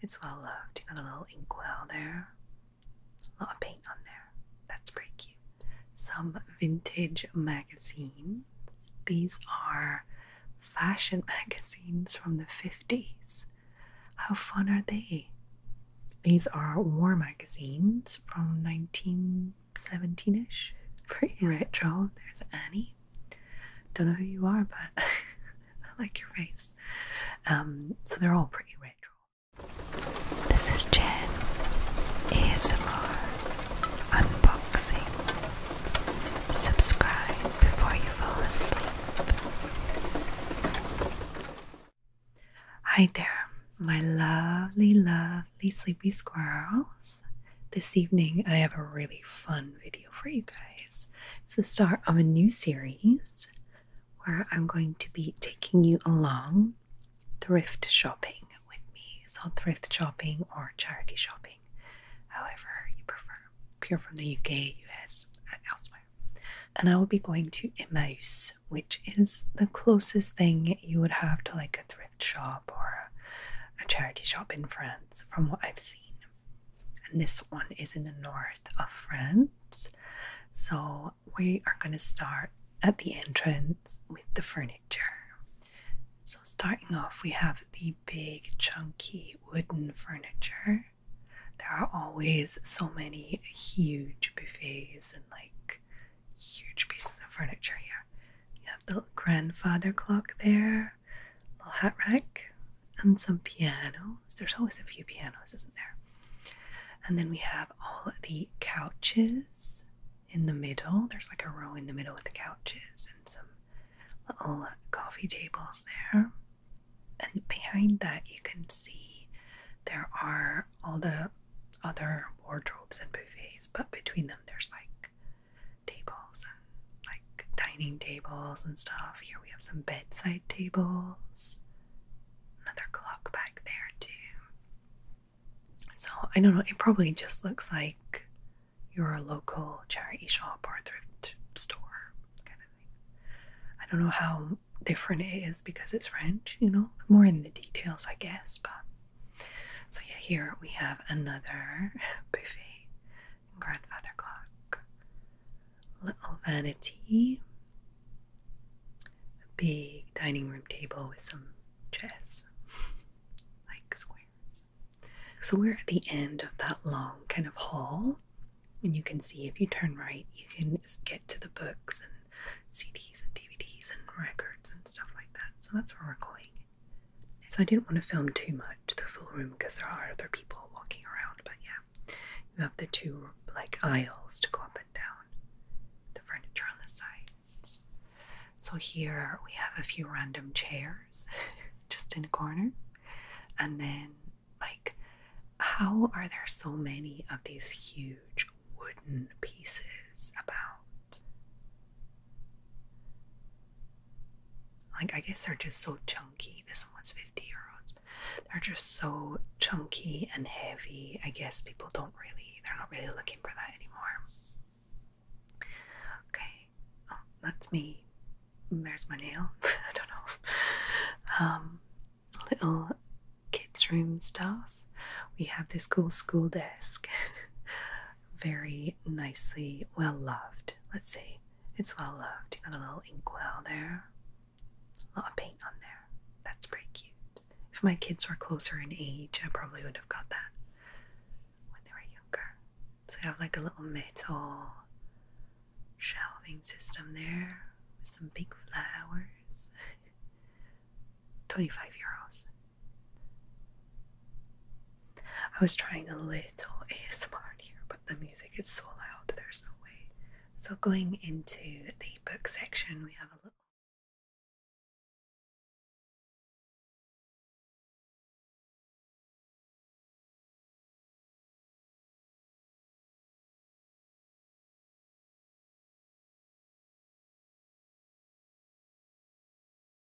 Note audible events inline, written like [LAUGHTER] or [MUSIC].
It's well loved. You got a little inkwell there. A lot of paint on there. That's pretty cute. Some vintage magazines. These are fashion [LAUGHS] magazines from the 50s. How fun are they? These are war magazines from 1917 ish. Pretty retro. There's Annie. Don't know who you are, but [LAUGHS] I like your face. Um, so they're all pretty retro. This is Jen ASMR Unboxing. Subscribe before you fall asleep. Hi there, my lovely, lovely sleepy squirrels. This evening I have a really fun video for you guys. It's the start of a new series where I'm going to be taking you along thrift shopping with me. So, thrift shopping or charity shopping, however you prefer. If you're from the UK, US, and elsewhere. And I will be going to Emouse, which is the closest thing you would have to like a thrift shop or a charity shop in France, from what I've seen. And this one is in the north of France. So we are going to start at the entrance with the furniture. So, starting off, we have the big, chunky wooden furniture. There are always so many huge buffets and like huge pieces of furniture here. You have the grandfather clock there, little hat rack and some pianos. There's always a few pianos, isn't there? And then we have all the couches in the middle. There's like a row in the middle with the couches and some little coffee tables there. And behind that, you can see there are all the other wardrobes and buffets, but between them, there's like tables like dining tables and stuff. Here we have some bedside tables. Another clock back there too. So I don't know, it probably just looks like your local charity shop or thrift store kind of thing. I don't know how different it is because it's French, you know, more in the details, I guess. But so, yeah, here we have another [LAUGHS] buffet grandfather clock. Little vanity. A big dining room table with some chairs, like squares. So we're at the end of that long kind of hall, and you can see if you turn right, you can get to the books and CDs and DVDs and records and stuff like that. So that's where we're going. So I didn't want to film too much the full room because there are other people walking around, but yeah, you have the two like aisles to go up and down the furniture on the sides. So here we have a few random chairs [LAUGHS] just in a corner, and then like, how are there so many of these huge wooden pieces about? Like, I guess they're just so chunky. This one was 50 euros. They're just so chunky and heavy. I guess people don't really, they're not really looking for that anymore. Okay, oh, that's me. There's my nail. [LAUGHS] I do Um, little kids' room stuff. We have this cool school desk. [LAUGHS] Very nicely, well loved, let's see. It's well loved. You got a little inkwell there? A lot of paint on there. That's pretty cute. If my kids were closer in age, I probably would have got that when they were younger. So you have like a little metal shelving system there with some big flowers. [LAUGHS] 25 euros. I was trying a little ASMR here, but the music is so loud, there's no way. So, going into the book section, we have a little.